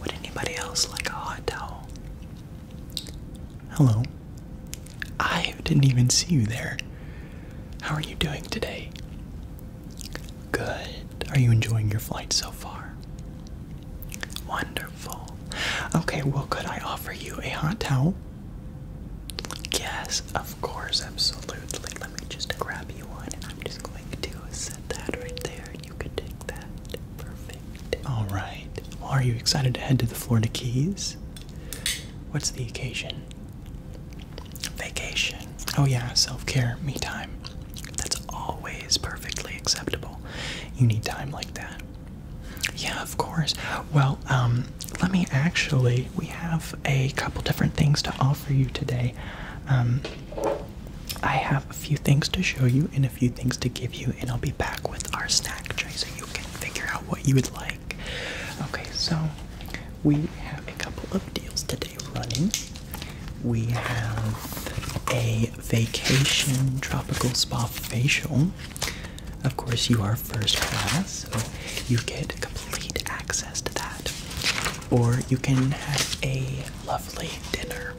Would anybody else like a hot towel? Hello. I didn't even see you there. How are you doing today? Good. Are you enjoying your flight so far? Wonderful. Okay, well, could I offer you a hot towel? Yes, of course, absolutely. Let me just grab you one and I'm just going to set that right there you could take that. Perfect. All right. are you excited to head to the Florida Keys? What's the occasion? Vacation. Oh, yeah, self care, me time. That's always perfectly acceptable. You need time like that. Yeah, of course. Well, um, let me actually, we have a couple different things to offer you today. Um, I have a few things to show you and a few things to give you, and I'll be back with our snack tray so you can figure out what you would like. Okay, so we have a couple of deals today running. We have a vacation tropical spa facial. Of course, you are first class, so you get complete access to that. Or you can have a lovely dinner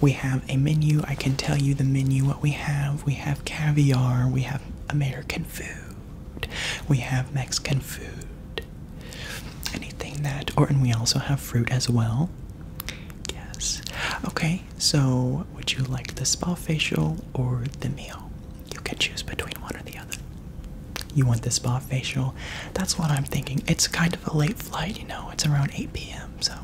we have a menu. I can tell you the menu, what we have. We have caviar, we have American food, we have Mexican food. Anything that, or and we also have fruit as well. Yes. Okay, so would you like the spa facial or the meal? You can choose between one or the other. You want the spa facial? That's what I'm thinking. It's kind of a late flight, you know, it's around 8 p.m., so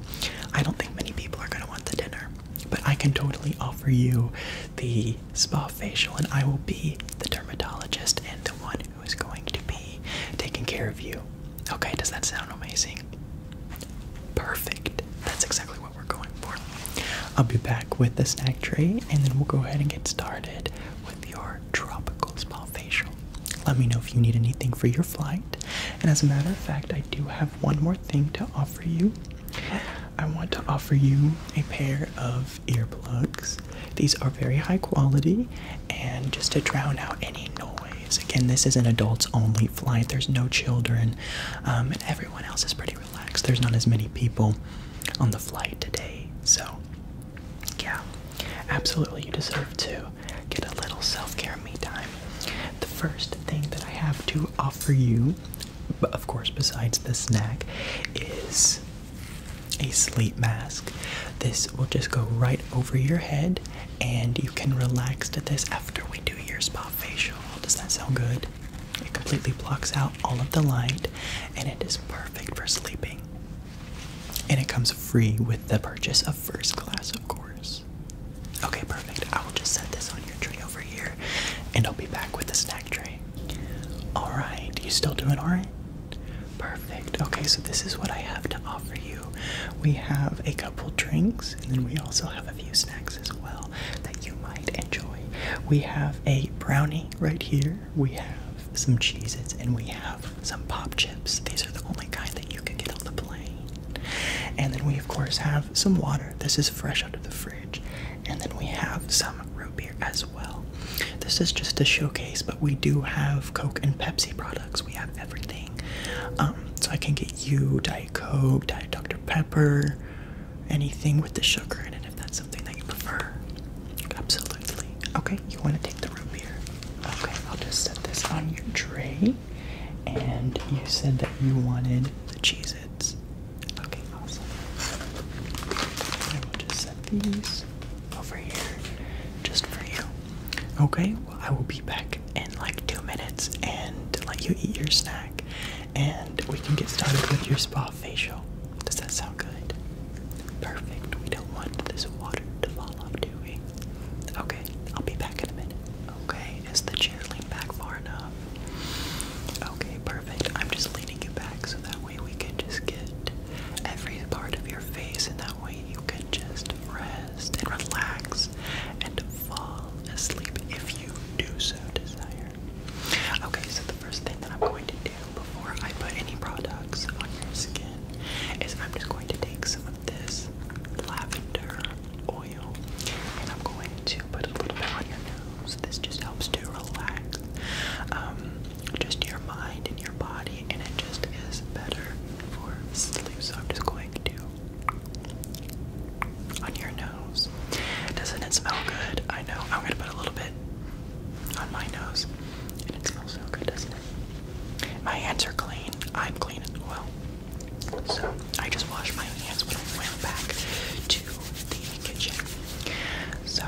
I don't think many people are going to want the dinner. But I can totally offer you the spa facial, and I will be the dermatologist and the one who is going to be taking care of you. Okay, does that sound amazing? Perfect. That's exactly what we're going for. I'll be back with the snack tray, and then we'll go ahead and get started with your your tropical spa facial. Let me know if you need anything for your flight. And as a matter of fact, I do have one more thing to offer you. I want to offer you a pair of earplugs. These are very high quality and just to drown out any noise. Again, this is an adults only flight, there's no children, um, and everyone else is pretty relaxed. There's not as many people on the flight today, so yeah, absolutely. You deserve to get a little self care me time. The first thing that I have to offer you, of course, besides the snack, is a sleep mask. This will just go right over your head, and you can relax to this after we do your spa facial. Does that sound good? It completely blocks out all of the light, and it is perfect for sleeping. And it comes free with the purchase of first class, of course. Okay, perfect. I will just set this on your tray over here and I'll be back with the snack tray. Alright, you still doing alright? Perfect. Okay, so this is what I have to offer you. We have a couple drinks and then we also have a few snacks as well that you might enjoy. We have a brownie right here we have some cheeses and we have some pop chips. These are the only kind that you can get on the plane. And then we of course have some water. This is fresh out of the fridge. And then we have some root beer as well. This is just a showcase, but we do have Coke and Pepsi products. We have everything. Um, so I can get you Diet Coke, Diet Dr. Pepper, anything with the sugar in it if that's something that you prefer. Absolutely. Okay, you want to take the root beer? Okay, I'll just set this on your tray. And you said that you wanted the Cheez Its. Okay, awesome. I will just set these over here just for you. Okay, I will be back in like two minutes and let you eat your snack. And we can get started with your spa facial. Does that sound good? Perfect. We don't want this water to fall off, do we? Okay, I'll be back in a minute. Okay, is the chair leaned back far enough? Okay, perfect. I'm just leaning you back so that way we can just get every part of your face, and that way you can just rest and relax and fall asleep if you do so desire. Okay, so the first thing that I'm going to before I put any products on your skin is I'm just going to take some of this lavender oil and I'm going to put a little bit on your nose. This just helps to relax um, just your mind and your body, and it just is better for sleep. So I'm just going to on your nose. Doesn't it smell good? I know. I'm going to put a little bit on my nose, and it smells so good, doesn't it? My hands are clean. I'm clean as well. So I just wash my hands when I went back to the kitchen. So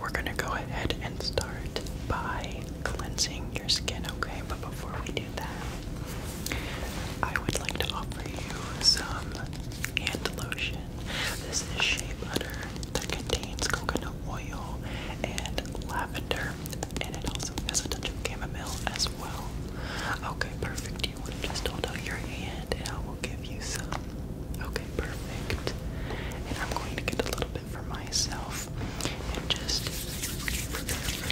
we're gonna go ahead and start by cleansing your skin, okay? But before we do that, I would like to offer you some hand lotion. This is shea butter that contains coconut oil and lavender, and it also has a touch of chamomile as well. Okay, perfect. You would just hold out your hand, and I will give you some. Okay, perfect. And I'm going to get a little bit for myself, and just the ultimately relaxing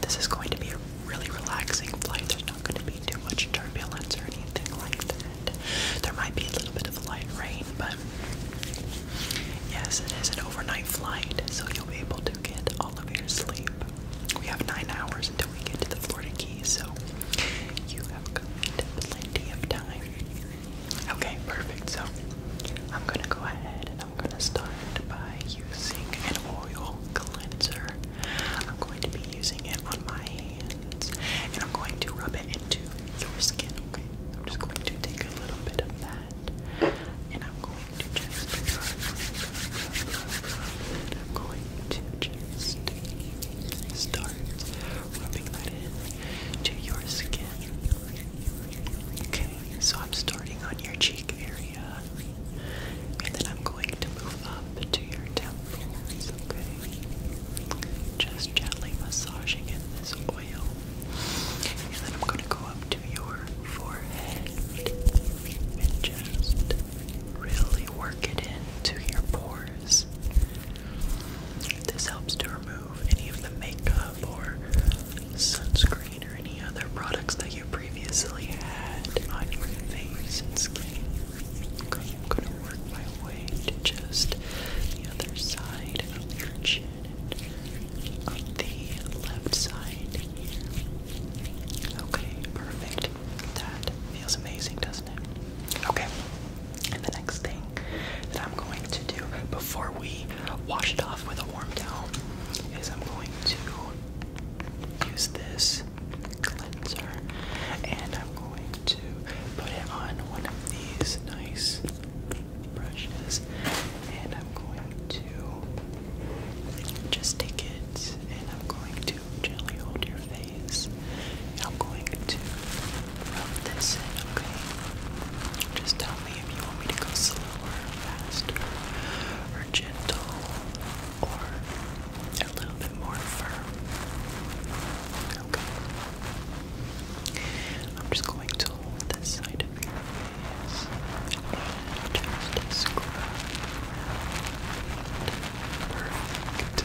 This is going to be a really relaxing flight not going to be too much turbulence or anything like that. There might be a little bit of light rain, but yes, it is an overnight flight, so you'll be able to get all of your sleep. We have nine hours until we get to the Florida Keys, so you have plenty of time. Okay, perfect. So I'm gonna go ahead and I'm gonna start by using an oil cleanser. I'm going to be using it on my hands and I'm going to rub it into your skin, okay? I'm just going to take a little bit of that and I'm going to just start rubbing that in to your skin. Okay, so I'm starting on your cheek area. And then I'm going to move up to your temples, okay? Just gently massaging this oil. And then I'm going to go up to your forehead and just really work it into your pores. This helps to remove any of the makeup or sunscreen or any other products that you previously had on your face and skin. I'm gonna work my way to just the other side of your chin on the left side here. Okay, perfect. That feels amazing, doesn't it? Okay. And the next thing that I'm going to do before we wash it off with a warm towel is I'm going to use this Cleanser. And I'm going to put it on one of these nice brushes. And I'm going to just take it and I'm going to gently hold your face. And I'm going to rub this in, okay? Just tell me if you want me to go slower, faster, or gentle or a little bit more firm. Okay. I'm just going to hold this side of your face and just scrub. Perfect.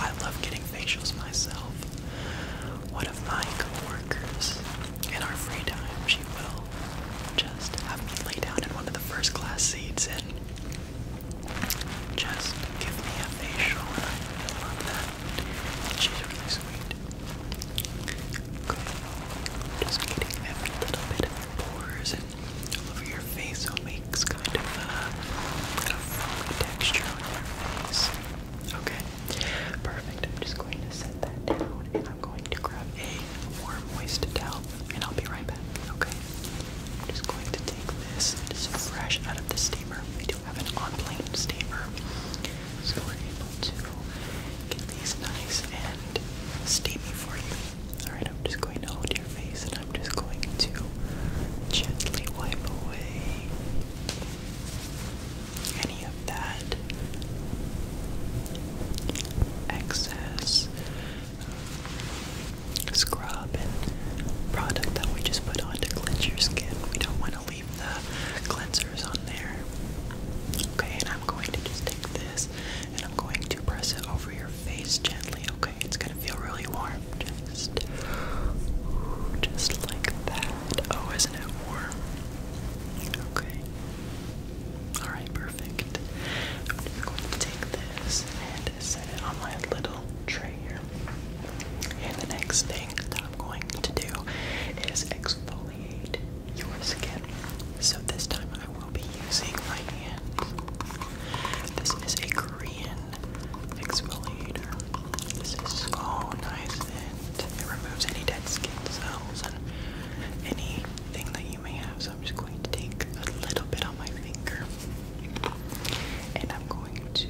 I love getting facials myself. One of my coworkers in our free time, she will just have me lay down in one of the first class seats and just give me a facial. And I love that. She's really sweet. Good. Just getting every little bit of pores and all over your face, so it makes kind of a, a foamy texture on your face. Okay, perfect. I'm just going to set that down I'm going to grab a warm, moist towel and I'll be right back, okay? I'm just going to take this. It is fresh out of the steamer. We do have an on-plane steamer. So we're able to get these nice and steamy for you. Alright, I'm just going to hold your face and I'm just going to gently wipe away any of that excess scrub and product that we just put on to cleanse your skin. We don't want to leave the cleansers on there. Okay, and I'm going to just take this and I'm going to press it over your face gently, okay? It's gonna feel really warm. Just just like that. Oh, isn't it warm? Okay. Alright, perfect. I'm going to take this and set it on my little tray here. And the next thing that I'm going to do is exfoliate your skin. So this time I will be using my hand. This is a Korean exfoliator. This is so nice and it removes any dead skin cells and anything that you. So I'm just going to take a little bit on my finger and I'm going to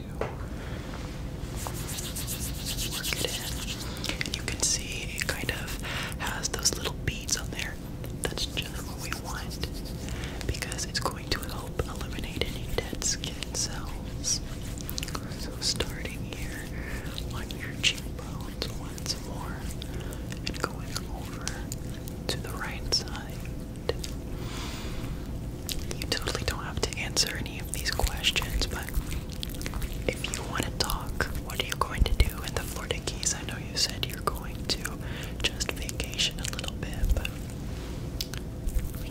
work it in. You can see it kind of has those little beads on there. That's just what we want because it's going to help eliminate any dead skin cells. So starting here on your cheekbone once more and going over to the right side. You totally don't have to answer any of these questions, but if you want to talk, what are you going to do in the Florida Keys? I know you said you're going to just vacation a little bit, but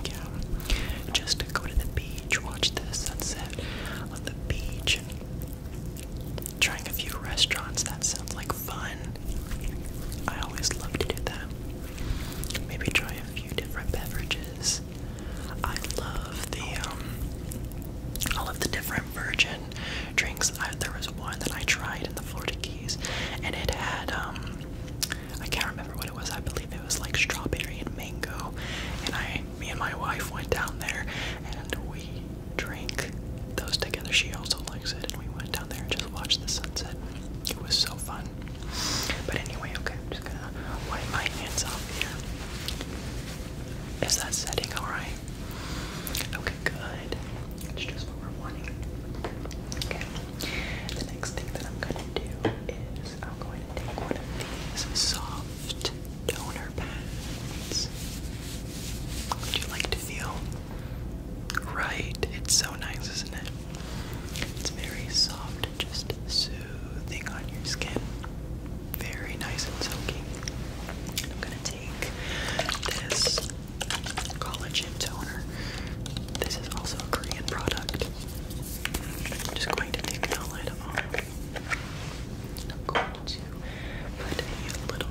yeah, just go to the beach, watch the sunset on the beach, Trying a few restaurants, that sounds like fun. I always love to do that. Maybe try a few different beverages. I love the um all of the different virgin drinks. I, there was one that I tried in the Florida Keys and it had um I can't remember what it was. I believe it was like strawberry and mango. And I me and my wife went down there and we Drink those together. She also likes it, and we went down there and just watched the sunset. It was so fun. But anyway, okay, I'm just gonna wipe my hands off here. Is that setting alright? Okay, good. It's just what we're wanting. Okay. The next thing that I'm gonna do is I'm going to take one of these soft toner pads. Would you like to feel right? It's so nice, isn't it? It's very soft and just soothing on your skin. Very nice and silky. I'm gonna take this collagen toner. This is also a Korean product. just going to take the outline I'm going to put a little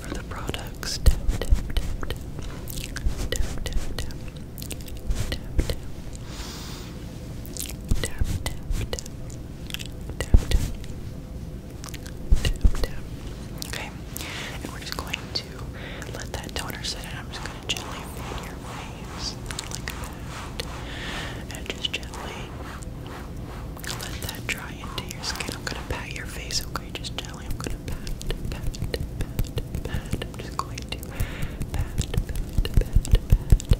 for the products. Tap, tap, tap, tap. Tap, tap, tap. Tap, tap. Tap, tap, tap. Tap, tap. Tap, tap. Okay. And we're just going to let that toner sit and I'm just going to gently fade your waves like that. And just gently let that dry into your skin. I'm going to pat your face, okay? Just gently. I'm going to pat, pat, pat, pat. I'm just going to pat, pat, pat, pat.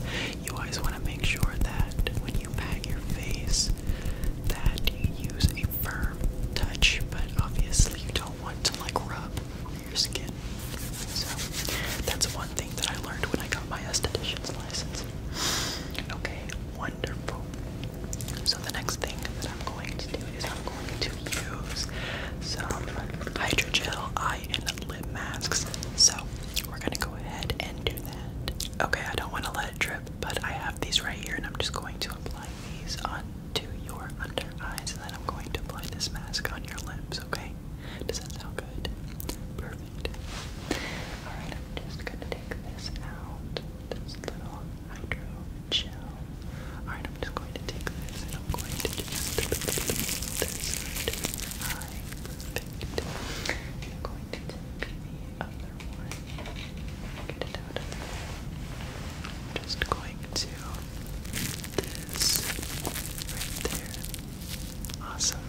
You always want to make sure that when you pat your face, that you use a firm touch, but obviously you don't want to like rub your skin. So that's one thing that I learned when I got my esthetician's license. Okay, wonderful. So the next thing that I'm going to do is I'm going to use some hydrogel eye and lip masks. So we're gonna go ahead and do that. Okay, I don't want to let it drip, but I have these right here, and I'm just going to apply these onto your under eyes, and then I'm going to apply this mask on your lips. Okay, does that sound good? Perfect. All right, I'm just gonna take this out. This little hydro gel. Alright, I'm just going to take this and I'm going to just this right eye. Perfect. And I'm going to take the other one. Get it out of there. I'm just going to this right there. Awesome.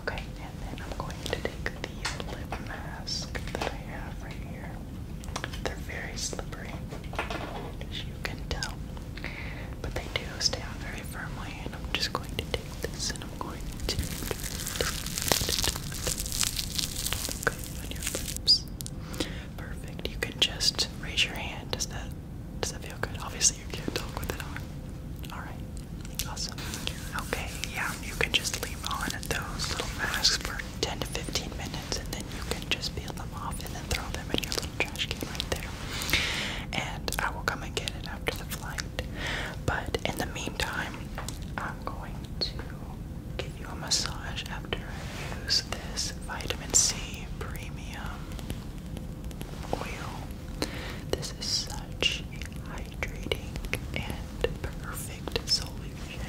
Okay, and then I'm going to take the lip mask that I have right here. They're very slippery, as you can tell. But they do stay on very firmly, and I'm just going to take this and I'm going to. Okay, on your lips. Perfect. You can just raise your hand. Does that does that feel good? Obviously you can't talk with it on. Alright. Awesome. Okay, yeah, you can just leave on those little masks for 10 to 15 minutes and then you can just peel them off and then throw them in your little trash can right there. And I will come and get it after the flight. But in the meantime, I'm going to give you a massage after I use this vitamin C premium oil. This is such a high hydrating and perfect solution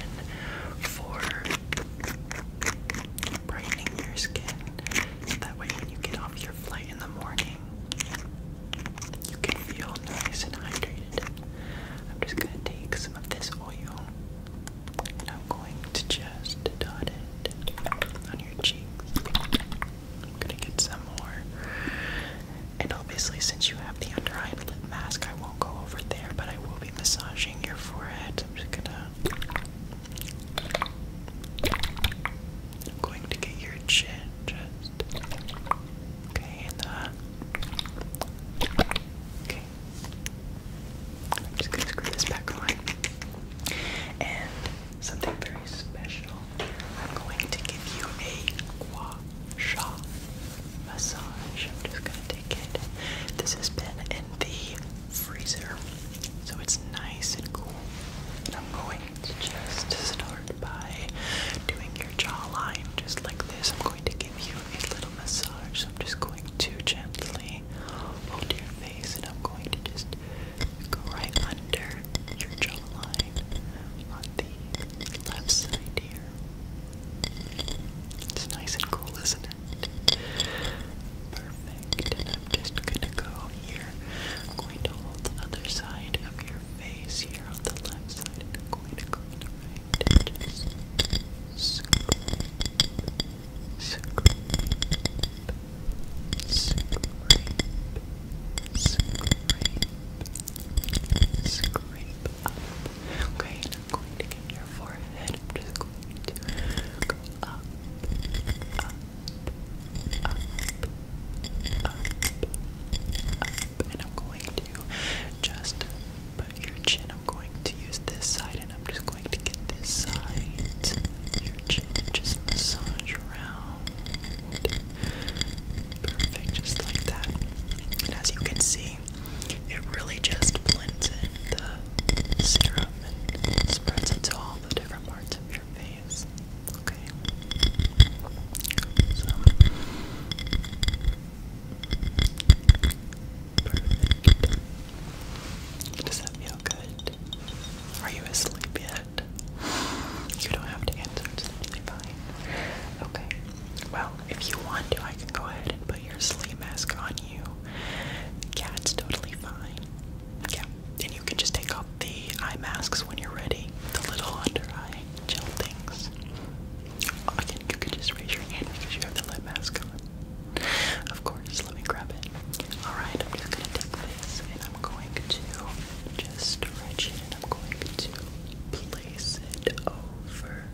for brightening your skin. that way, when you get off your flight in the morning, you can feel nice and hydrated. I'm just gonna take some of this oil and I'm going to just dot it on your cheeks. I'm gonna get some more and obviously, since you have the under eye lip mask, I won't go over there, but I will be massaging your forehead. I'm just gonna. I'm going to get your chin just. Okay, and uh. Okay. just gonna screw this back on. And something very special. I'm going to give you a gua sha massage. I'm just gonna take it. This has been in the freezer, so it's nice and cool. I'm going to just start by doing your jawline just like this. I'm going to give you a little massage. So I'm just going to gently hold your face and I'm going to just go right under your jawline on the left side it's nice and cool, isn't it? Perfect. I'm just gonna go here. I'm going to hold the other side of your face here on the left side, I'm going to go on the right. Just scrape, scrape, scrape, scrape, scrape, Okay, and I'm going to get your forehead. I'm just going to go up, up, up, up, up. And I'm going to just put your chin. I'm going to use this side and I'm just going to get this side. Your chin just massage around perfect, just like that. And as you can see, it really just blends in the serum and spreads it all the different parts of your face. Okay. So. Perfect. Does that feel good? Are you asleep yet? You don't have to answer, it's totally fine. Okay. Well, if you want to, I can go ahead and put your sleep mask on you. Yeah, it's totally fine. Yeah, and you can just take off the eye masks when you're ready. The little under eye gel things. Oh, Again, you can just raise your hand because you have the lip mask on. Of course, let me grab it. Alright, I'm just gonna take this and I'm going to just stretch it and I'm going to place place it over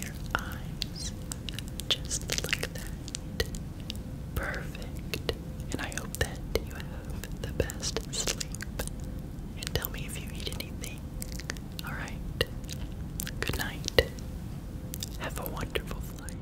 your eyes just like that. Perfect. And I hope that you have the best sleep. And tell me if you need anything. Alright. Good night. Have a wonderful flight.